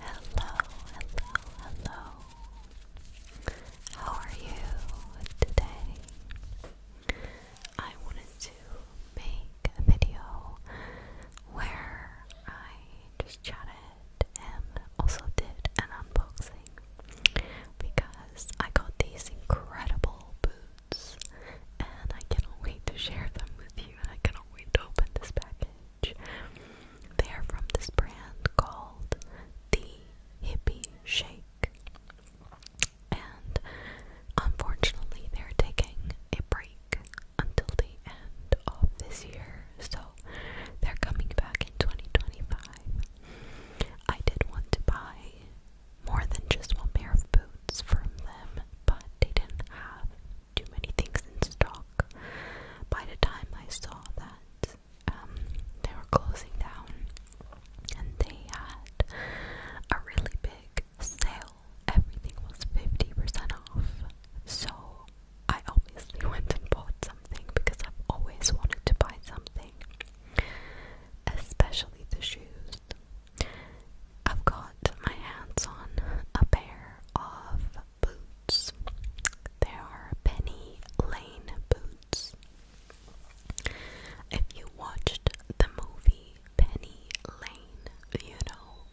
Hello, hello, hello. How are you today? I wanted to make a video where I just chatted and also did an unboxing because I got these incredible boots and I cannot wait to share them with you, and I cannot wait to open this package. They are from this brand called The Hippie Shake, and unfortunately, they're taking a break until the end of this year, so they're coming back in 2025. I did want to buy more than just one pair of boots items from them, but they didn't have too many things in stock. By the time I saw that um, they were closing down, and they had a really big sale. Everything was 50% off. So I obviously went and bought something because I've always wanted to buy something, especially the shoes. I've got my hands on a pair of boots. They are Penny Lane boots. If you watched the movie Penny Lane, you know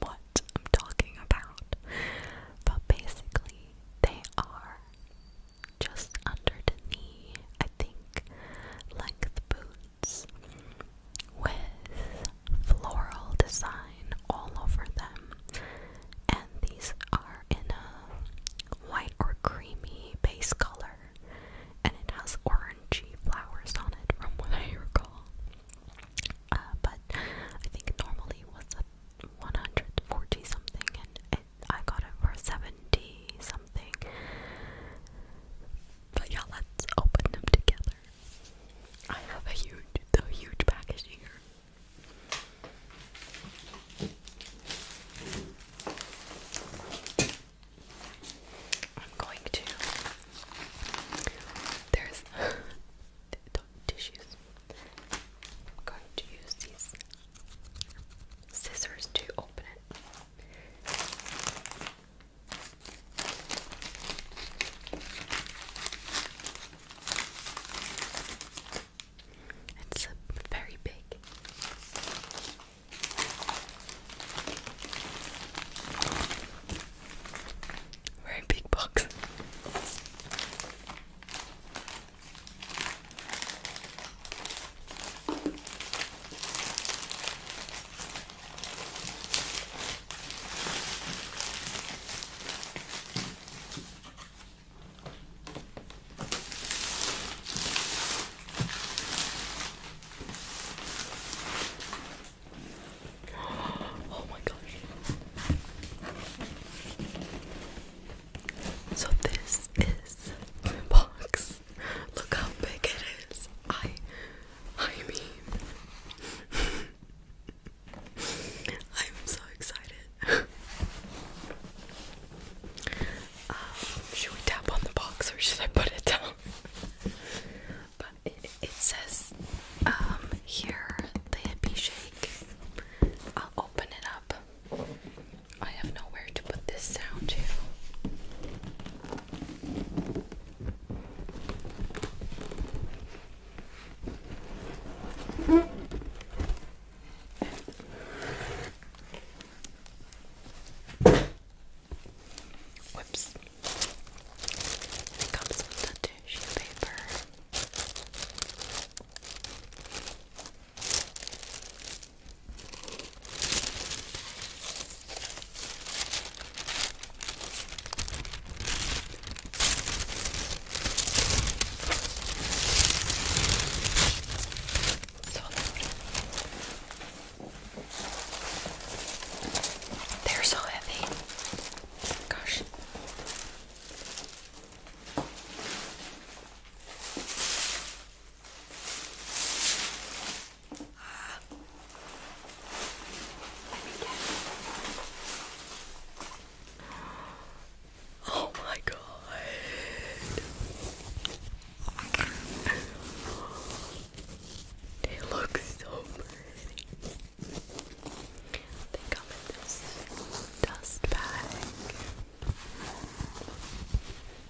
what I'm talking about. But basically, they are just under knee, I think, length boots with floral design all over them. And these are in a white or creamy base color, and it has orangey flowers on it, from what I recall. Uh, but I think normally was a 140 something, and I got it for 70 something. But yeah, let's open them together. I have a huge, the huge package here. I'm going to. There's tissues. I'm going to use these scissors to open it. It's uh, very big. Very big box. Oh my gosh. So this is the box. Look how big it is. I I mean I'm so excited. Um, should we tap on the box or should I put it down? but it, says um here the hippie shake. I'll open it up. I have nowhere to put this sound to. Whoops. And it comes with the tissue paper. So loud. They're so heavy. Gosh. Uh, let Oh my god. They look so pretty. They come in this dust bag.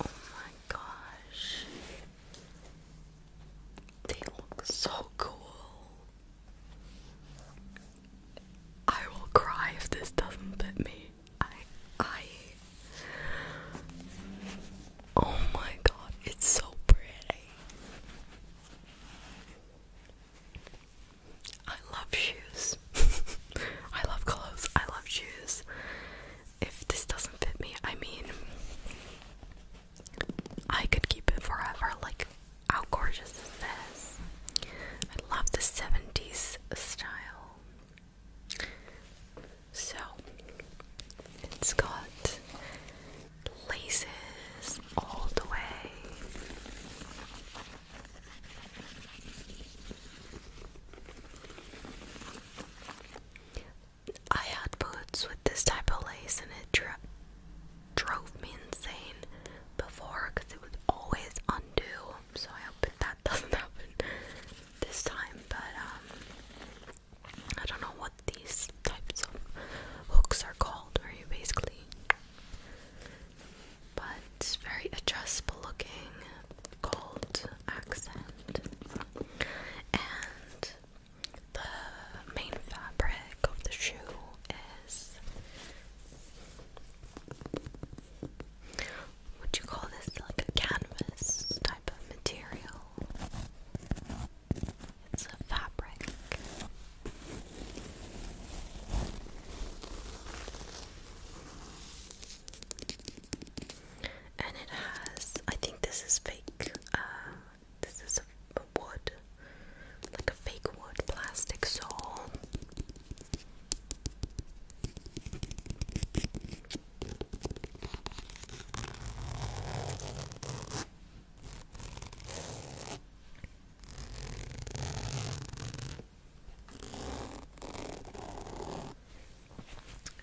Oh my gosh. They look so cool. I will cry if this doesn't fit me. I I Oh my god, it's so pretty. I love shoes. I love clothes. I love shoes. If this doesn't fit me, I mean, I could keep it forever. Like, how gorgeous is this? I love the 70s style. So, it's got laces all the way. I had boots with this type of lace and it dro drove me insane before because it was always undo. So I hope that doesn't happen this time. But um, I don't know what these types of hooks are called, Are you basically but very adjustable looking gold accent. And the main fabric of the shoe is would you call this like a canvas type of material? It's a fabric. And it has, I think this is fake, uh, this is wood, like a fake wood plastic sole.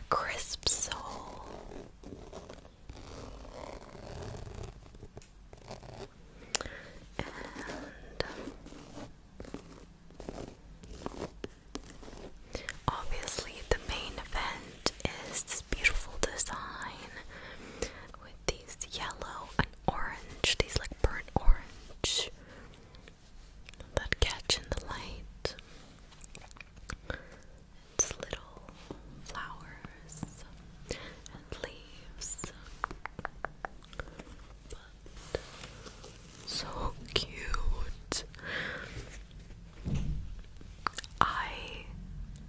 Crisp soul. And obviously, the main event is this beautiful design with these yellow orange, these like burnt orange that catch in the light. It's little flowers and leaves. But so cute. I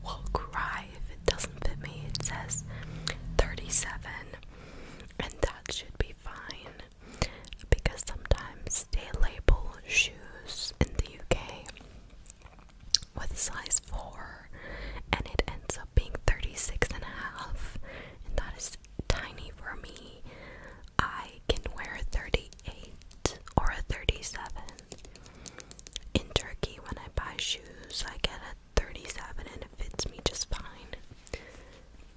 will cry if it doesn't fit me. It says 37 and that should be fine because sometimes they label shoes in the UK with size 4 and it ends up being 36 and a half and that is tiny for me. I can wear a 38 or a 37. In Turkey when I buy shoes I get a 37 and it fits me just fine.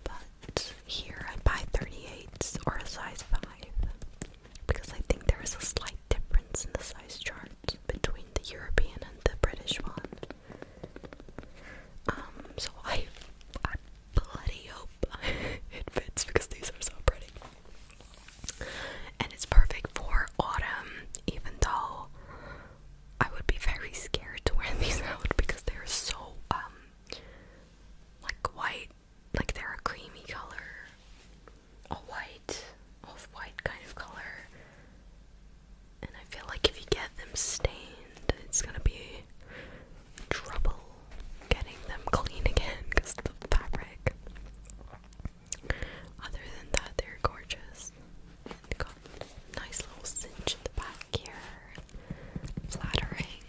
But here I buy 38s or a size 5 because I think there is a slight difference in the size chart between the European and the British one. Um, so I, I bloody hope it fits because these are so pretty. And it's perfect for autumn, even though I would be very scared to wear these out because they're so um like white, like they're a creamy color, a white, off-white kind of color. And I feel like if you get them stained, it's gonna be trouble getting them clean again because the fabric. Other than that, they're gorgeous nice little cinch at the back here. Flattering.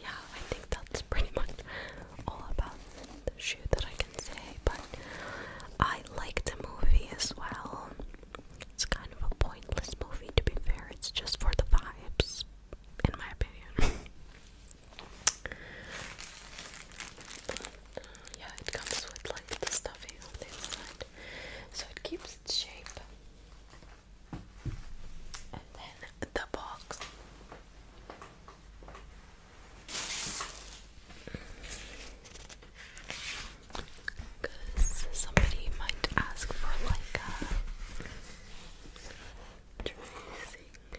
yeah, I think that's pretty much all about the shoe that I can say, but I like the movie as well. It's kind of a pointless movie to be fair, it's just for the vibes, in my opinion. Uh, yeah, it comes with like the stuffing on the inside, so it keeps its shape. And then the box. Because somebody might ask for like a tracing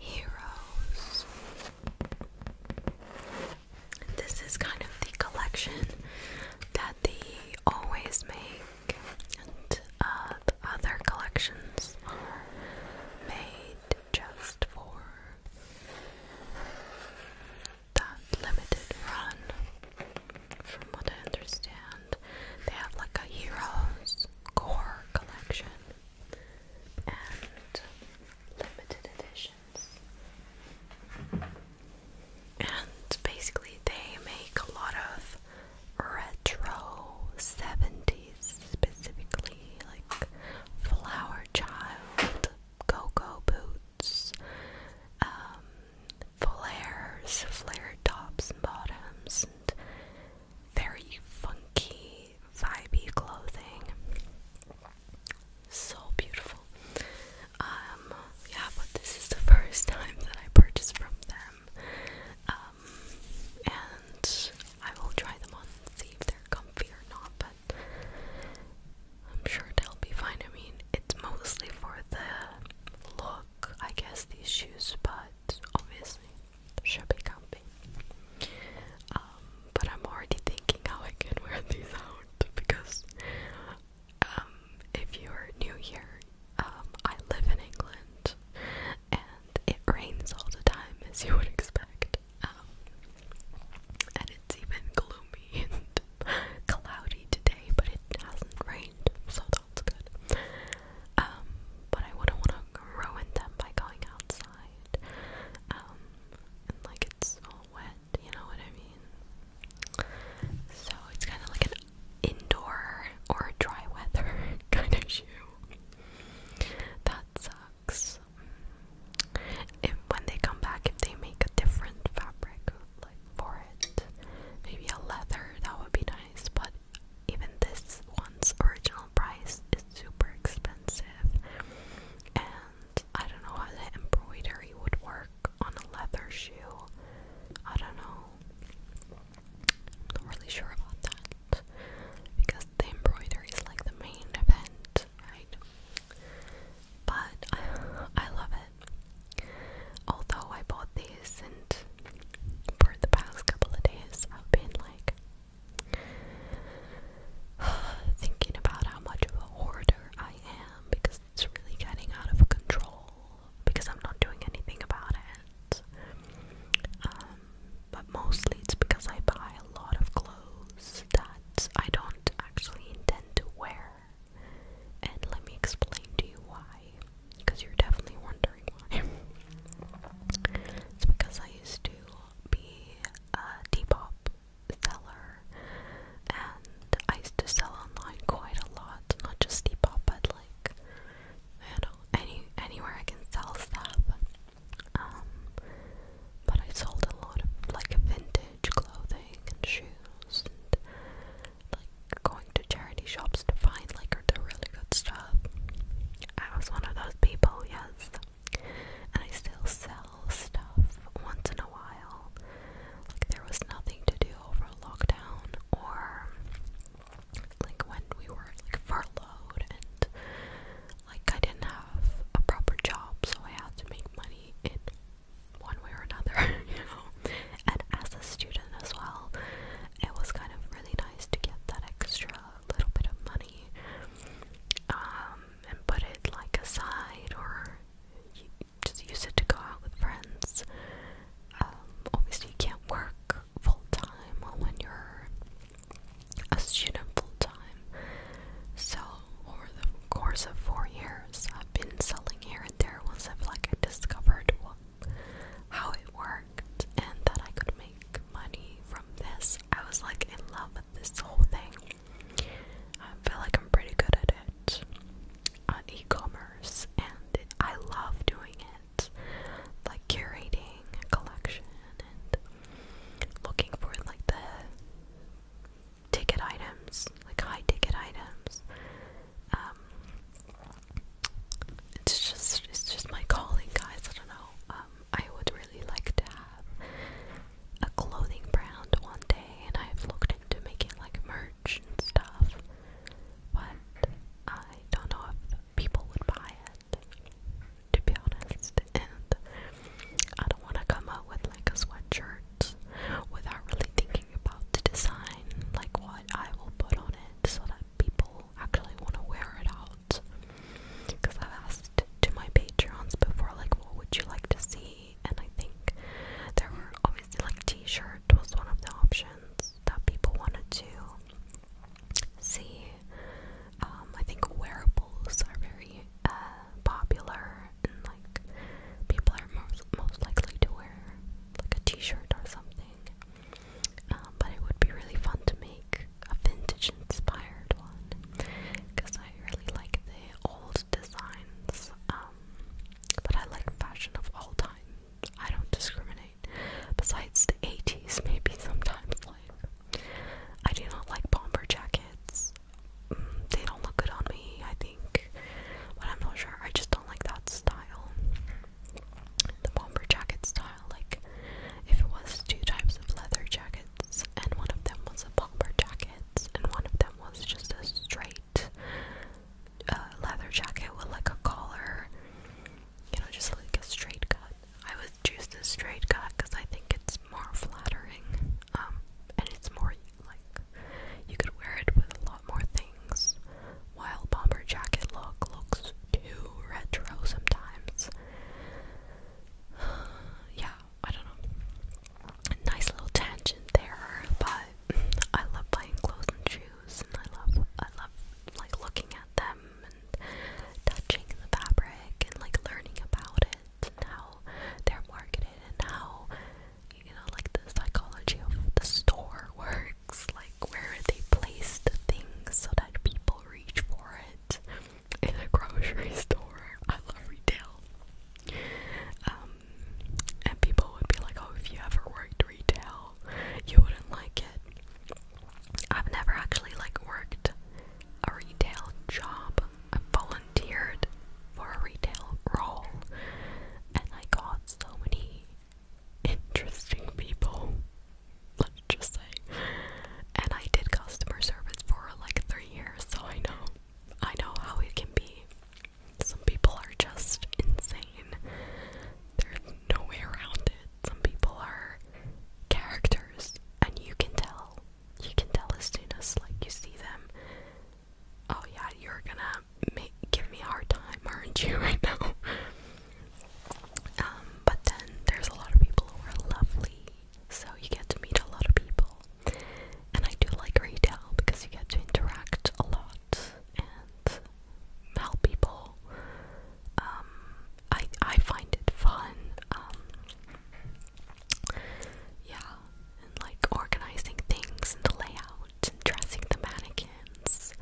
Heroes. This is kind of the collection that they always make, and uh, the other collections are made just for that limited run. From what I understand, they have like a Heroes Core collection and limited editions. And basically, they make a lot of retro 70s, specifically like Flower Child, Coco Boots. Um, flares, flared tops and bottoms, and very funky, vibey clothing. So beautiful. Um, yeah, but this is the first time that I purchased from them. Um, and I will try them on and see if they're comfy or not, but I'm sure they'll be fine. I mean, it's mostly for the look, I guess, these shoes, but obviously, they should be comfy. Um, but I'm already thinking how I can wear these out because, um, if you're new here, um, I live in England and it rains all the time, as you would expect. Um, and it's even gloomy and cloudy today, but it hasn't rained, so that's good. Um, but I wouldn't want to ruin them by going outside, um, like it's all wet, you know what I mean? So it's kind of like an indoor or dry weather kind of shoe. That fabrics. when they come back, if they make a different fabric like for it, maybe a leather, that would be nice. But even this one's original price is super expensive, and I don't know how the embroidery would work on a leather shoe. I don't know. not really sure about that because the embroidery is like the main event, right? But I, love it. Although I bought these and for the past couple of days I've been like thinking about how much of a hoarder I am because it's really getting out of control because I'm not doing anything about it. Um, but mostly it's because I buy a lot of clothes I don't actually intend to wear. And let me explain to you why, because you're definitely wondering why. it's because I used to be a Depop seller, and I used to sell online quite a lot, not just Depop, but like, you know, any anywhere I can sell stuff. Um, but I sold a lot of like vintage clothing and shoes like going to charity shops to find like really good stuff. I was one of those people, yes. And I still sell stuff once in a while. Like there was nothing to do over lockdown or like when we were like furloughed and like I didn't have a proper job, so I had to make money in one way or another, you know. And as a student as well, it was kind of really nice to get that extra little bit of money um, and put it like aside or you just use it to go out with friends. Um, obviously, you can't work full time when you're a student full time. So, over the course of four years, I've been selling here and there once I've like discovered how it worked and that I could make money from this. I was like in love with this whole thing. I feel like I'm pretty good at it on uh, e-commerce, and I love doing it, like curating a collection and looking for like the ticket items, like high ticket items. Um, it's just it's just my calling, guys. I don't know. Um, I would really like to have a clothing brand one day, and I've looked into making like merch and stuff, but I don't know if people would buy it to be honest. And I don't want to come out with like a sweatshirt without really thinking about the design, like what I will put on it so that people actually want to wear it out. Because I've asked to my Patreons before, like, what would you like to see? And I think there were obviously like t shirt was one of the options that people wanted to see. Um, I think wearables are very uh, popular, and like people are most most likely to wear like a T-shirt or something. Um, but it would be really fun to make a vintage-inspired one because I really like the old designs. Um, but I like fashion of all time. I don't discriminate. Besides the 80s, maybe sometimes like I do not like bomber jackets. Mm, they don't look good on me, I think. But I'm not sure. I just don't like that style. The bomber jacket style. Like, if it was two types of leather jackets, and one of them was a bomber jacket, and one of them was just a straight uh, leather jacket with like a collar, you know, just like a straight cut. I would choose the straight cut because I think it's more flattering, um, and it's more like you could wear it with a lot more things. While bomber jacket look looks too retro sometimes. yeah, I don't know. Nice little tangent there, but I love buying clothes and shoes, and I love I love like looking at them and touching the fabric and like learning about it and how they're marketed and how you know like the psychology of the store works like where they place the things so that people reach for it in a grocery store i love retail um and people would be like oh if you ever worked retail you wouldn't like it i've never actually like worked a retail job. I volunteered for a retail role and I got so many interesting people, let's just say. And I did customer service for like three years, so I know I know how it can be. Some people are just insane. There's no way around it. Some people are characters and you can tell you can tell as soon as like you see them. Oh yeah, you're gonna make, give me a hard time, aren't you, right now? Um, but then there's a lot of people who are lovely, so you get to meet a lot of people. And I do like retail because you get to interact a lot and help people. Um, I I find it fun. Um, yeah, like organizing things and the and dressing the mannequins.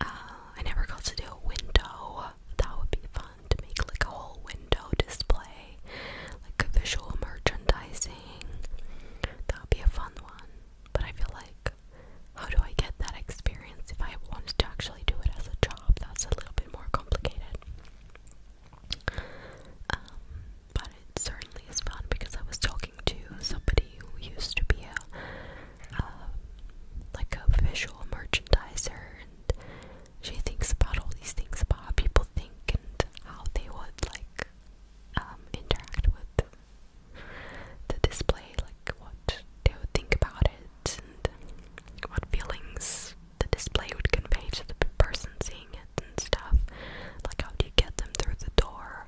Uh, I never got to do a window. That would be fun to make like a whole window display, like a visual merchandising. That would be a fun one. But I feel like, how do I get that experience if I wanted to actually do it as a job? That's a little bit more complicated. Um, but it certainly is fun because I was talking to somebody who used to be a, uh, like a visual merchandiser, and she thinks about all these things about how people think and how they would like um, interact with the display, like what they would think about it and what feelings the display would convey to the person seeing it and stuff. Like, how do you get them through the door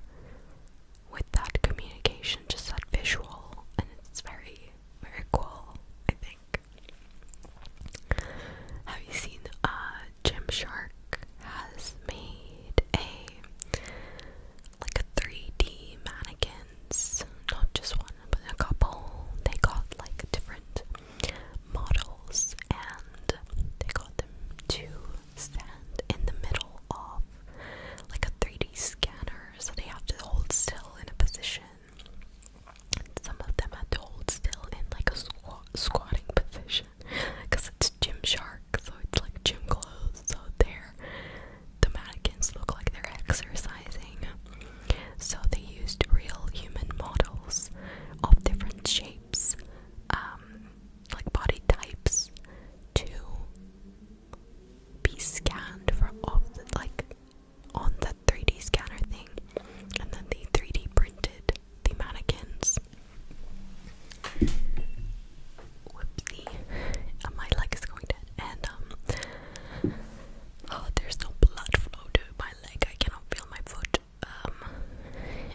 with that communication, just that visual? And it's very, very cool, I think. Have you seen uh, Gymshark has made a like a 3D mannequin not just one, but a couple. They got like different models and they got them to stand in the middle of like a 3D scanner, so they have to hold still in a position. some of them had to hold still in like a squ squatting position because it's Gym Gymshark, so it's like gym clothes, so they're the mannequins look like they're exercising. So they used real human models of different shapes, um, like body types, to be scanned for off the, like on the 3D scanner thing, and then they 3D printed the mannequins. Whoopsie, uh, my leg is going dead, and um, Oh, there's no blood flow to my leg. I cannot feel my foot. Um,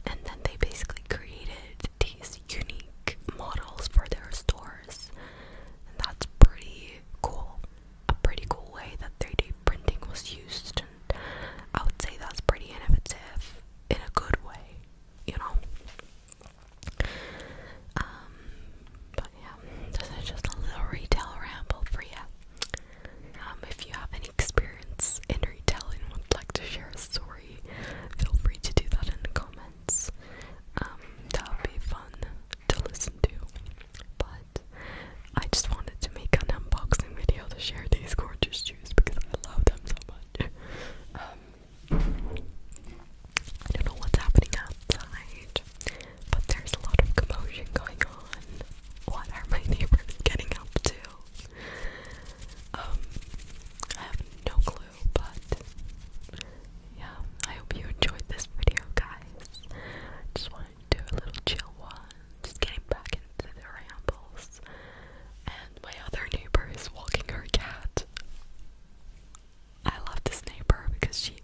and then they basically created these unique models for their stores. And that's pretty cool. A pretty cool way that 3D printing was used. And I would say that's pretty innovative in a good way, you know? Um, but yeah, this is just a little retail ramble for you. Um, if you have any experience in retail and would like to share a story, feel free to do that in the comments. Um, that would be fun to listen to. But I just wanted to make an unboxing video to share these gorgeous shoes because I love them so much. Um, I don't know what's happening outside. But there's a lot of commotion going on. What are my neighbors getting up to? Um, I have no clue, but yeah, I hope you enjoyed this video, guys. Just wanted to do a little chill one, just getting back into the rambles. And my other neighbor is walking her cat. I love this neighbor because she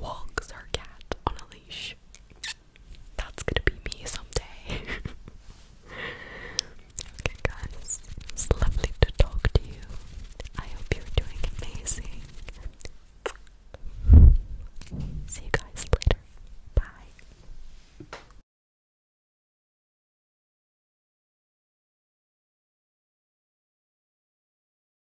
walks her cat on a leash. That's gonna be me someday. okay, guys, it's lovely to talk to you. I hope you're doing amazing. See you guys later. Bye.